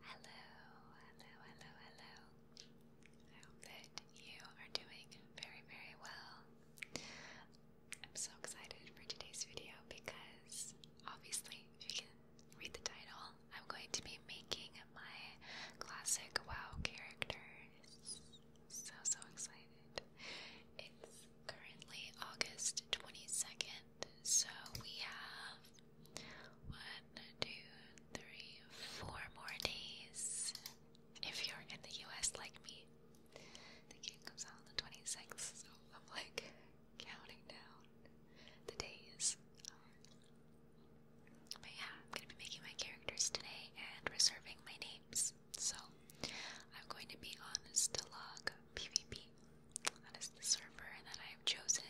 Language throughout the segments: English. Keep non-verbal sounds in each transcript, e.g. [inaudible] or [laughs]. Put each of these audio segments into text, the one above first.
Hello, hello, hello, hello. I hope that you are doing very, very well. I'm so excited for today's video because obviously, if you can read the title, I'm going to be making my classic WoW characters. So, so excited. It's currently August 22nd, so we have one, two, three, four more days. If you're in the US like me, the game comes out on the 26th, so I'm like counting down the days. I'm going to be making my characters today and reserving my names. So I'm going to be on Stilog PvP. That is the server that I have chosen.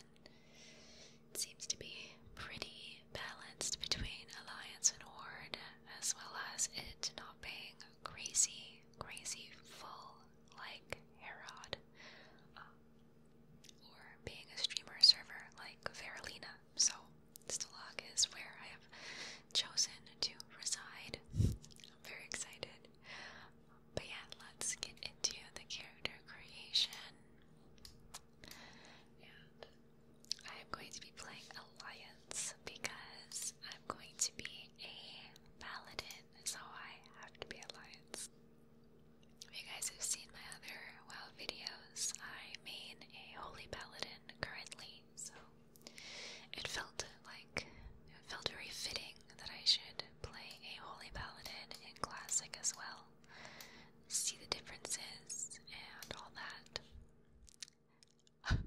It seems to be pretty balanced between Alliance and Horde, as well as it not being crazy, crazy full like Herod, um, or being a streamer server like Veralina so Stalag is where I have chosen to reside. I'm very excited. But yeah, let's get into the character creation. And I'm going to be playing Alliance because I'm going to be a paladin, so I have to be Alliance. If you guys have seen my other WoW videos, I main a holy paladin currently, so it felt like it felt very fitting that I should play a holy paladin in classic as well. See the differences and all that. [laughs]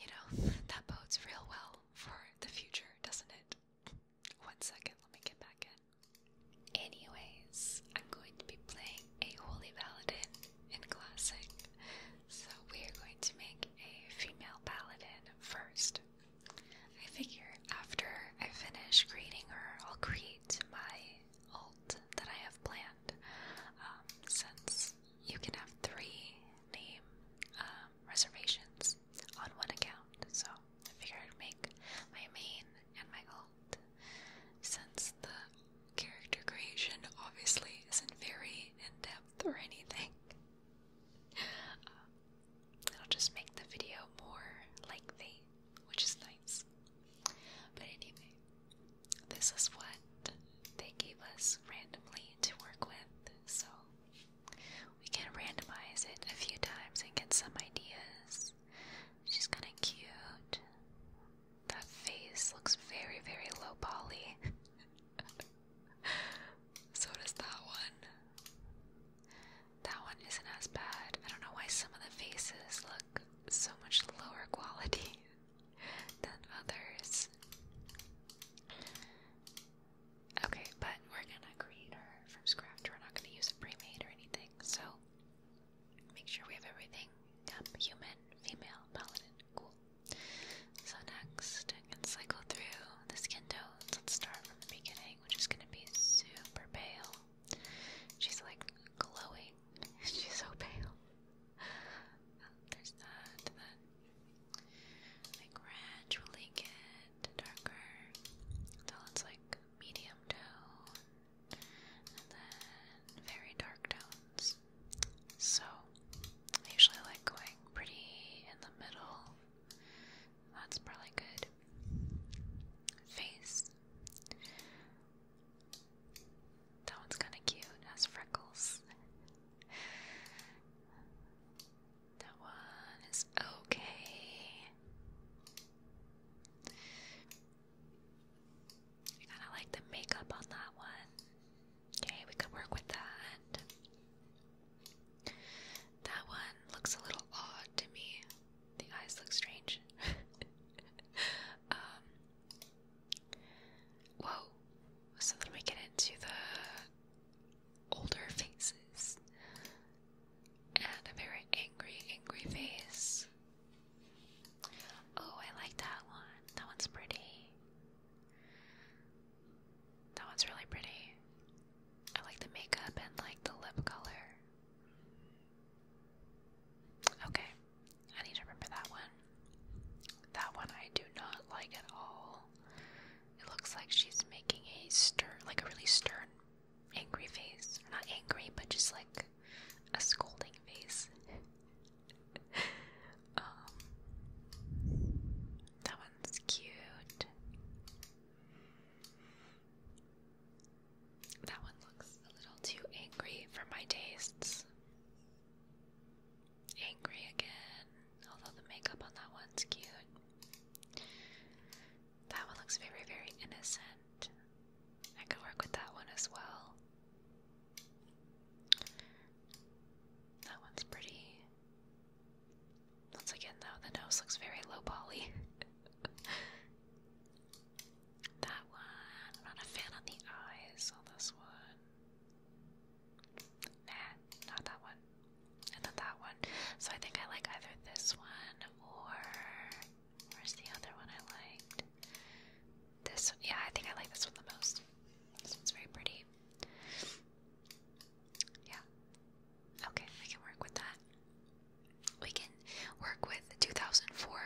you know, that bodes real well for the future, doesn't it? One second, let me get back in. Anyways, I'm going to be playing a Holy Paladin in Classic, so we are going to make a female Paladin first. I figure after I finish creating her, I'll create my alt that I have planned. Um, since you can have three name um, reservations on one account, so I figured I'd make my main and my alt since the character creation obviously isn't very in depth or anything. Um, it'll just make the video more lengthy, which is nice. But anyway, this is what they gave us randomly to work with, so we can randomize it a few times and get some ideas. She's kind of cute. That face looks very, very low poly. [laughs] so does that one. That one isn't as bad. I don't know why some of the faces look so much lower quality [laughs] than others. Okay, but we're gonna create her from scratch. We're not gonna use a premade or anything. So Make sure we have everything. Tap human, female, paladin. Cool. So next, I can cycle through the skin tones. Let's start from the beginning, which is going to be super pale. She's like glowing. [laughs] She's so pale. there's that, then I gradually get darker until it's like medium tone very dark tones. So I usually like going pretty in the middle. That's probably good. Face. That one's kind of cute. Has freckles. That one is okay. I kind of like the makeup on that one. Okay, we could work with that. That one looks a little odd to me. The eyes look strange. [laughs] um, whoa. So then we get into the older faces and a very angry, angry face. Oh, I like that one. That one's pretty. That one's really pretty. I like the makeup and like the lip color. Okay, I need to remember that one. That one I do not like at all. It looks like she's making a stern, like a really stern angry face. Not angry, but just like a scolding face. [laughs] Um, that one's cute. That one looks a little too angry for my tastes. Angry again, although the makeup on that one's cute. That one looks very, very innocent. I could work with that one as well. That one's pretty. Once again, though, the nose looks very low poly. [laughs] that one. I'm not a fan on the eyes on this one. not that one. And that one. So I think I like either this one or Where's the other one I liked? This one. Yeah, I think I like this one the most. This one's very pretty. Yeah. Okay, we can work with that. We can work with 2004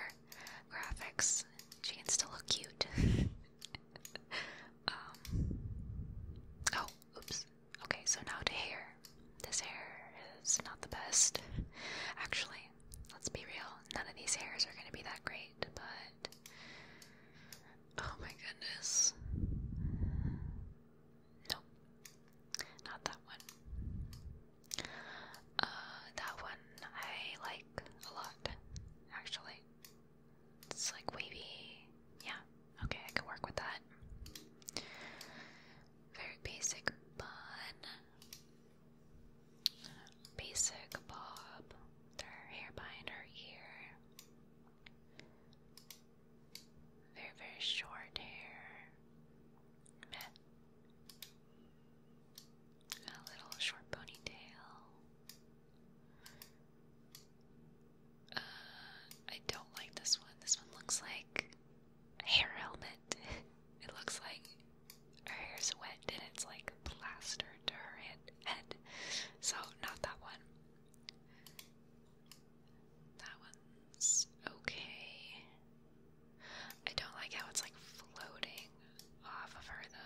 graphics. She can still look cute. [laughs] um. Oh, oops. Okay, so now to hair. This hair is not the best. Actually, let's be real, none of these hairs are going to be that great, but. Oh my goodness. No, not that one. Uh, that one I like a lot, actually. It's like wavy. Yeah, okay, I can work with that. Very basic bun. Basic bob. Her hair behind her ear. Very, very short hair. A little short ponytail. Uh, I don't like this one. This one looks like hair helmet. [laughs] it looks like her hair's wet and it's like plastered to her head. So, not that one. That one's okay. I don't like how it's like floating off of her though.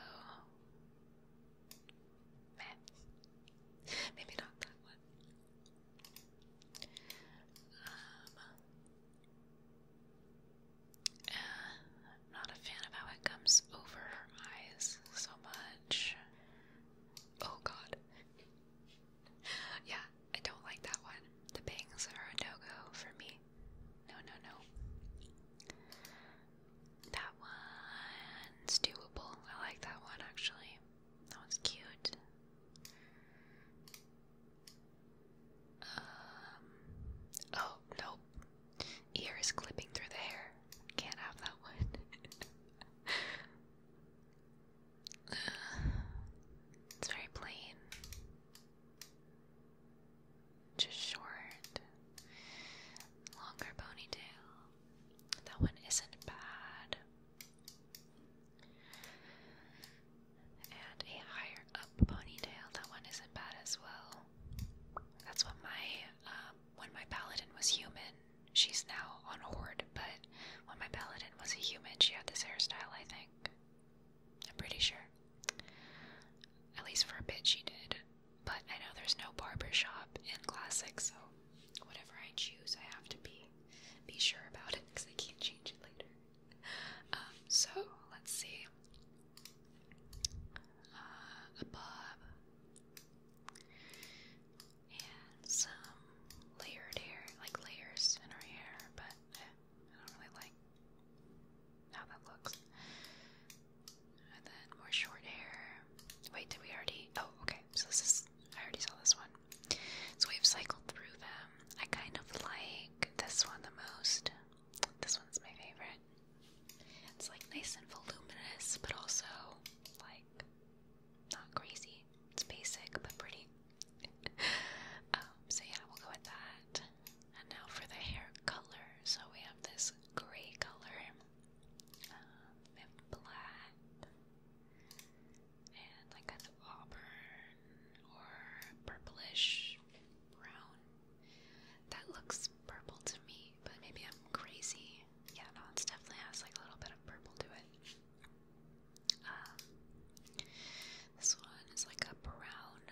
Maybe not that one. Um, uh, not a fan of how it comes over her eyes so much. Oh god. yeah, I don't like that one. The bangs are a no-go for me. No, no, no. That one's doable. I like that one actually. That was cute. Um, oh, nope. Ear is clipping through the hair. Can't have that one. [laughs] Uh, it's very plain. Just short. Longer ponytail. That one isn't bad. And a higher up ponytail. That one isn't bad as well. That's what my um, when my paladin was human. She's now on horde, but when my paladin was a human, she had this hairstyle. I think. I'm pretty sure. At least for a bit, she did. But I know there's no barber shop in classic, so whatever I choose, I have to be be sure about it because I can't change it later. Um, so let's see. Uh, above and some layered hair, like layers in our hair, but eh, I don't really like how that looks. And then more short hair. Wait, did we already? Oh, okay. So this is. I already saw this one. So we've cycled through them. I kind of like this one the most. This one's my favorite. It's like nice and voluminous, but also like not crazy. It's basic but pretty. [laughs] Um, so yeah, we'll go with that. And now for the hair color. So we have this gray color. Um, black, and like kind of auburn or purplish brown. That looks purple to me, but maybe I'm crazy. Yeah, no, it definitely has like a little bit of purple to it. Um, this one is like a brown.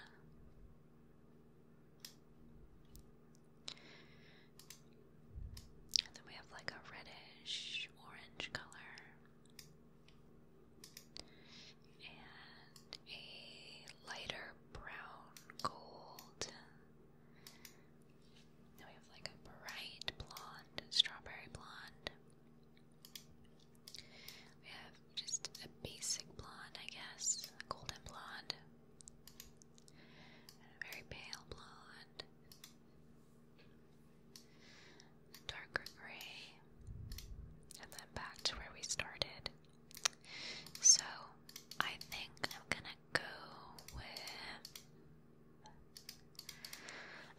And then we have like a reddish orange color and a lighter brown gold. Now we have like a bright blonde, strawberry blonde. We have just a basic blonde, I guess, golden blonde, and a very pale blonde, darker gray, and then back to where we started. So I think I'm gonna go with.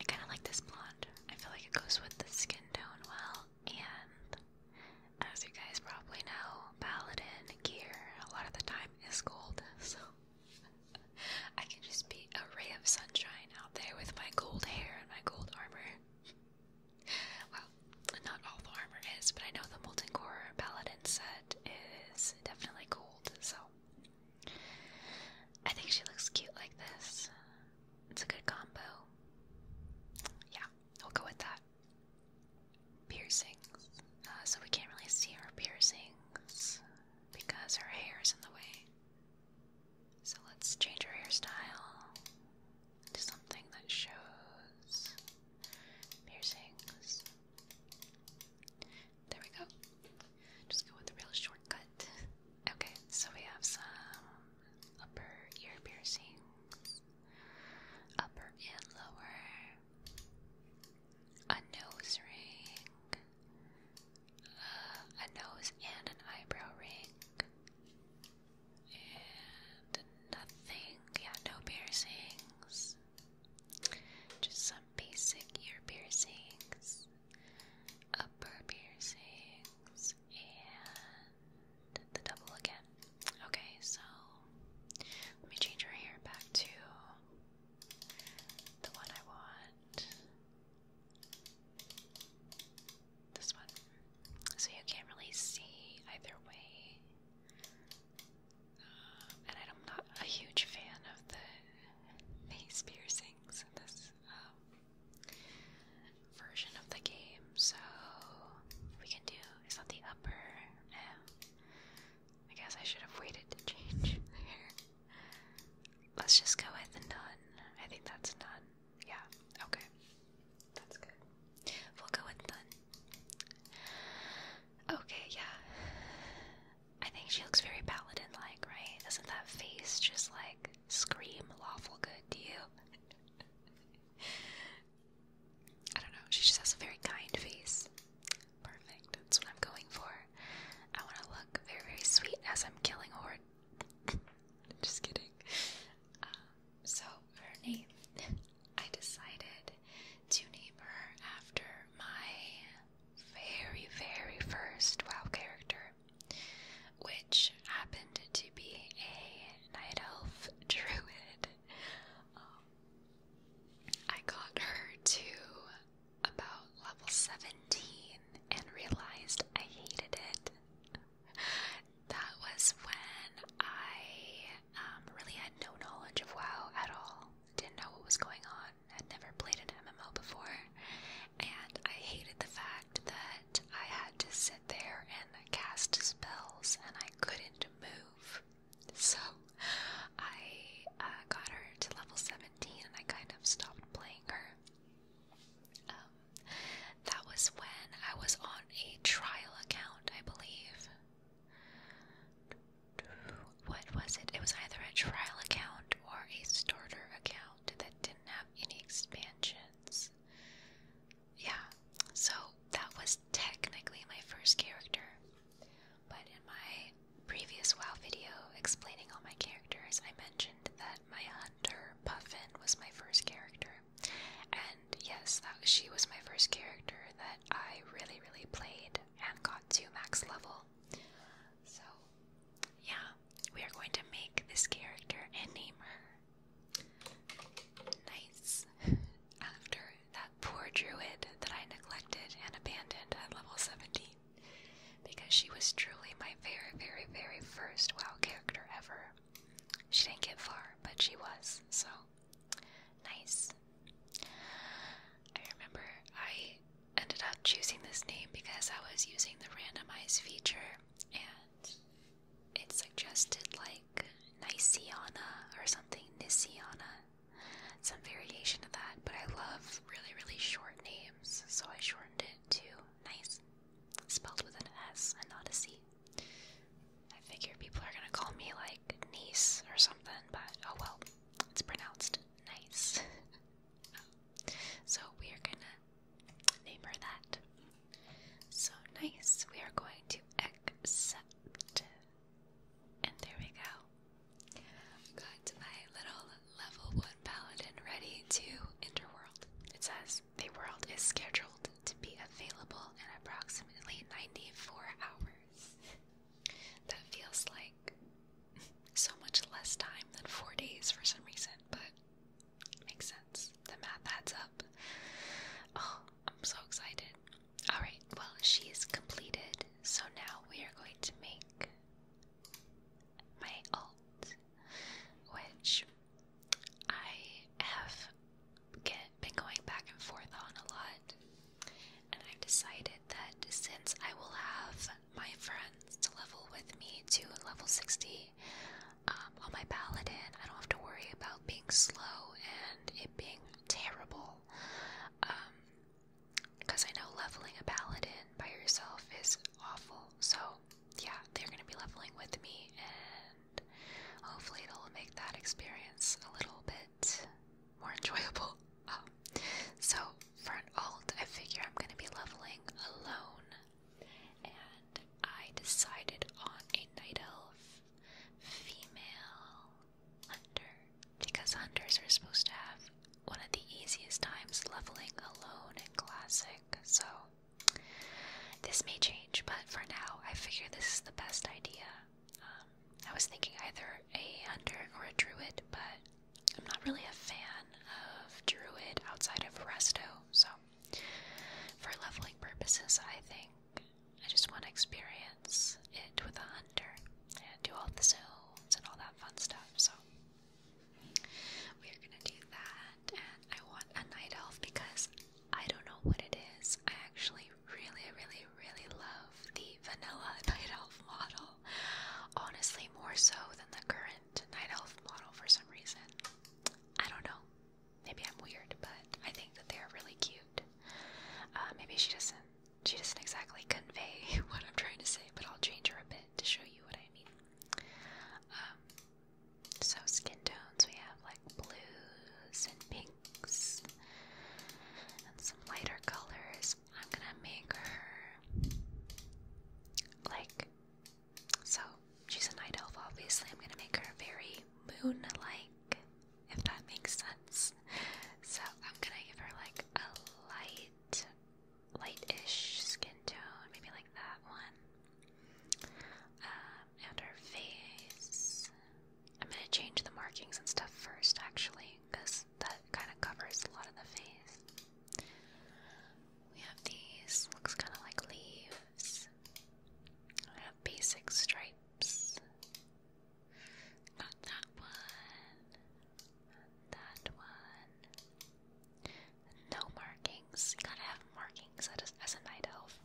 I kind of like this blonde. I feel like it goes with the skin tone well, and as you guys probably know, paladin gear a lot of the time is gold, [laughs] so I can just be a ray of sunshine out there with my gold hair and my gold armor. well, not all the armor is, but I know the Molten Core Paladin set is definitely gold, so I think she looks cute like this. It's a good combo. Yeah, we'll go with that. Piercings. Uh, so we can't really see her piercings because her hair is in the way. So let's change our hairstyle to something that shows piercings. There we go. Just go with the real shortcut. Okay, so we have some upper ear piercings, upper and lower, a nose ring, a nose and an eyebrow ring, and nothing. Yeah, no piercings. Just some basic ear piercings, upper piercings, and the double again. Okay, so let me change her hair back to the one I want. This one. So you can't really see either way. Um, and I'm not a huge fan of the face piercings in this um, version of the game, so we can do. Is that the upper? No. Eh, I guess I should have waited to change the [laughs] Let's just go with none. I think that's none. Yeah, okay. That's good. We'll go with none. Okay, yeah. I think she looks very paladin like, right? Doesn't that face just like scream lawful good to you? [laughs] I don't know. She just has a very kind face. Perfect. That's what I'm going for. I want to look very, very sweet as I'm killing a horde. [laughs] Just kidding. Um, so, her name, I decided to name her after my very, very first WoW character, which happened to be a night elf [laughs] druid. Um, I got her to about level 17 and realized I hated it. that was when I um, really had no knowledge of WoW at all. Didn't know what was going on. Had never played an MMO before. And I hated the fact that I had to sit there and cast spells and I couldn't move. So I uh, got her to level 17 and I kind of stopped playing her. Um, that was when I was on a trial account, I believe. What was it? It was either a trial account or a starter account that didn't have any expansions. Yeah, so that was technically my first character, but in my previous WoW video explaining all my characters, I mentioned that my hunter, Puffin, was my first character. And yes, she was my first character that I really, really played and got to max level. So, yeah, we are going to make this character and name her Nice [laughs] after that poor druid that I neglected and abandoned at level 70 because she was truly my very, very, very first WoW character ever. She didn't get far, but she was, so nice. I remember I ended up choosing this name because I was using the randomize feature and it suggested like Niciana or something, Niciana, some variation of that, but I love really, really short names so I shortened it to Nice, spelled with an S and not a C. I figure people are gonna call me like niece or something, but oh well, it's pronounced Nice. [laughs] so we are gonna name her that. So nice, we are going to accept. And there we go. Got my little level 1 paladin ready to Interworld. It says the world is scheduled to be available in approximately 94 hours. that feels like so much less time than 4 days for some reason, but makes sense. The math adds up. Oh, I'm so excited. Alright, well, she is completed, so now we are going to make my alt, which I have been going back and forth on a lot, and I've decided that since I will have my friends to level with me to level 60 um, on my paladin, I don't have to worry about being slow and it being terrible. Um, because I know leveling a paladin by yourself is awful. So, yeah, they're going to be leveling with me, and hopefully, it'll make that experience a little bit more enjoyable. [laughs] Um, so, for an alt, I figure I'm going to be leveling alone. And I decided on a night elf female hunter because hunters are supposed to have one of the easiest times leveling alone in Classic, so this may change, but for now, I figure this is the best idea. Um, I was thinking either a hunter or a druid, but I'm not really a fan of druid outside of Resto, so for leveling purposes, I think I just want to experience it with a hunter and do all the zones and all that fun stuff. So we are gonna do that. And I want a night elf because I don't know what it is. I actually really, really, really love the vanilla [laughs] night elf model. Honestly, more so than the current night elf model for some reason. I don't know. Maybe I'm weird, but I think that they are really cute. Uh, maybe she doesn't she doesn't exactly convey [laughs] what I'm trying to say, but I'll change her a bit to show you what I mean. Um, so skin tones, we have like blues and pinks and some lighter colors. I'm gonna make her like so she's a night elf obviously. I'm gonna make her very moon like, if that makes sense. So I'm gonna give her like a light lightish skin tone, maybe like that one. Um, and our face. I'm gonna change the markings and stuff first, actually, because that kind of covers a lot of the face. We have these, looks kind of like leaves. I have basic stripes that one. that one. No markings. gotta have markings as, a night elf.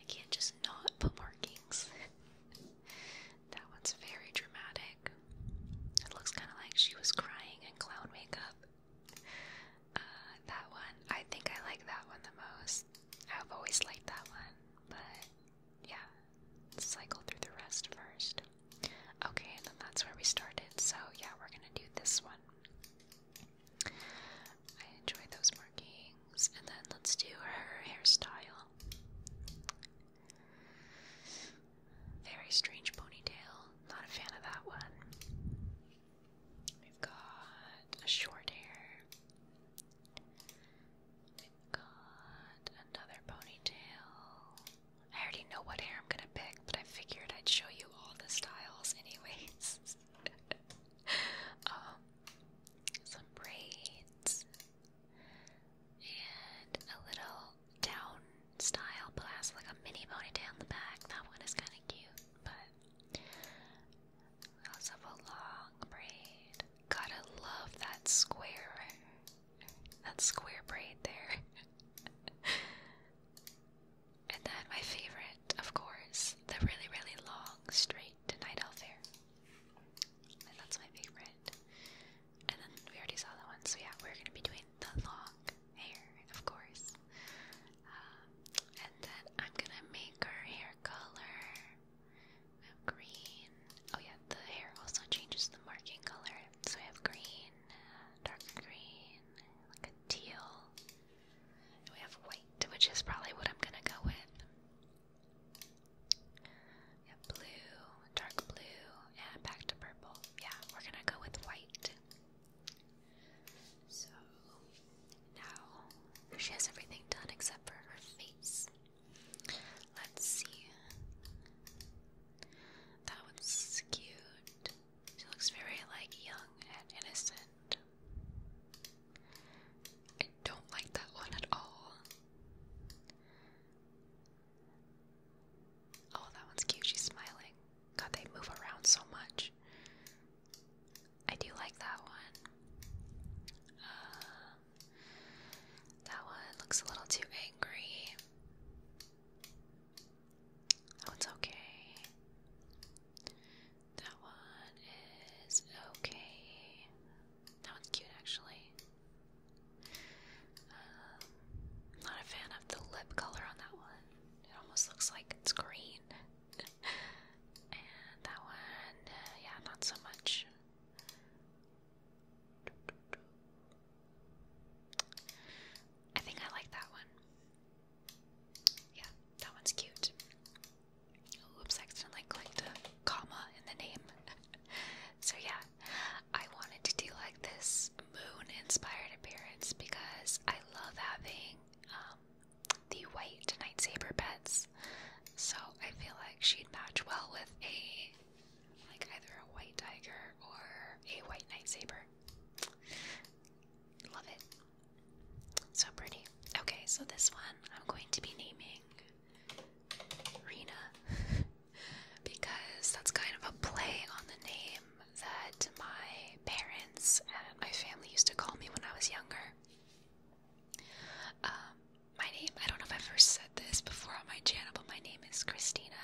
I can't just not put markings. [laughs] that one's very dramatic. It looks kind of like she was crying in clown makeup. Uh, that one, I think I like that one the most. I've always liked that one, but yeah, cycle through the rest first. Okay, and then that's where we started. So yeah, we're gonna do this one. I enjoy those markings, and then let's do her hairstyle. Very strange ponytail. Not a fan of that one. We've got a short hair. Got another ponytail. I already know what hair I'm gonna pick, but I figured I'd show you all the styles, anyways. [laughs] um, some braids and a little down style, but like a mini ponytail in the back. That one is kind of cute, but we also have a long braid. Gotta love that square that square braid there. [laughs] and then my favorite, of course, the really, really long, straight night elf hair. And that's my favorite. And then we already saw that one, so yeah, we're gonna be doing the long hair, of course. Um, and then I'm gonna make her hair color green oh yeah, the hair also changes the marking color. So we have green, dark green, like a teal. we have white, which is probably what I'm gonna go with. blue, dark blue, and back to purple. Yeah, we're gonna go with white. So now she has everything done except for her face. Let's see. That one's cute. She looks very like young and innocent. I don't like that one at all. Oh, that one's cute. She's smiling. God, they move around so much. I do like that one. Uh, that one looks a little too angry. Oh, it's okay. That one is okay. That one's cute, actually. Um, not a fan of the lip color on that one. It almost looks like it's green. [laughs] and that one, uh, yeah, not so much. I think I like that one. Yeah, that one's cute. Oops, accidentally clicked a comma in the name. [laughs] so, yeah, I wanted to do like this moon inspired appearance because I love having um, the white Night Saber pets. So, I feel like she'd match well with a like either a white tiger or a white night Love it. So pretty. Okay, so this one I'm going to be naming Rena [laughs] because that's kind of a play on the name that my parents and my family used to call me when I was younger. Um, my name, I don't know if I've ever said this before on my channel, but my name is Christina,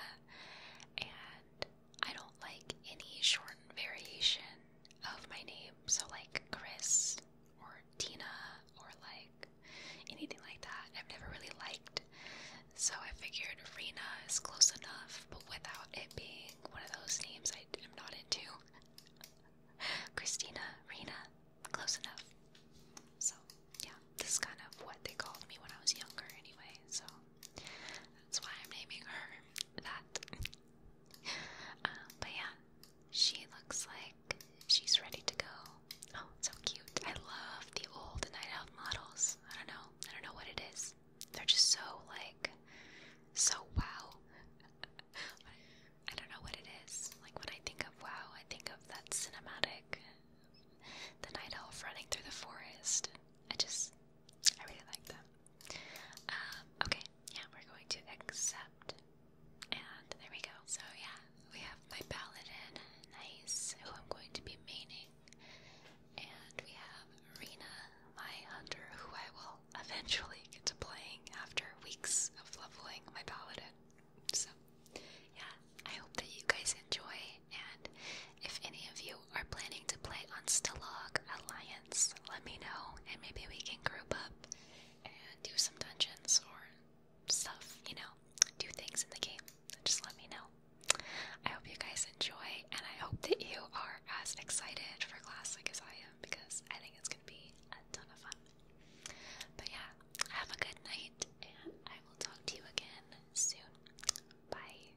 and I don't like any shortened variation of my name, so like Chris or Tina or like anything like that. I've never really liked, so I figured Rena is close enough, but without it being one of those names I am not into. [laughs] Christina, Rena, close enough. So, yeah, this is kind of what they called me when I was younger, anyway, so that's why I'm naming her that. [laughs] Um, but yeah, she looks like she's ready to go. Oh, so cute. I love the old night out models. I don't know. I don't know what it is. They're just so, like, so wow. [laughs] I don't know what it is. Like, when I think of wow, I think of that cinematic the night elf running through the forest. I just, I really like them. Um, okay, yeah, we're going to accept. And there we go. So, yeah, we have my paladin, Nice, who I'm going to be maining. And we have Marina, my hunter, who I will [laughs] eventually get to playing after weeks of leveling my paladin. So, yeah, I hope that you guys enjoy. And if any of you are planning to play on Stalag Alliance, let me know, and maybe we can group up and do some dungeons or stuff, you know, do things in the game. Just let me know. I hope you guys enjoy, and I hope that you are as excited for Classic as I am because I think it's going to be a ton of fun. But yeah, have a good night, and I will talk to you again soon. Bye.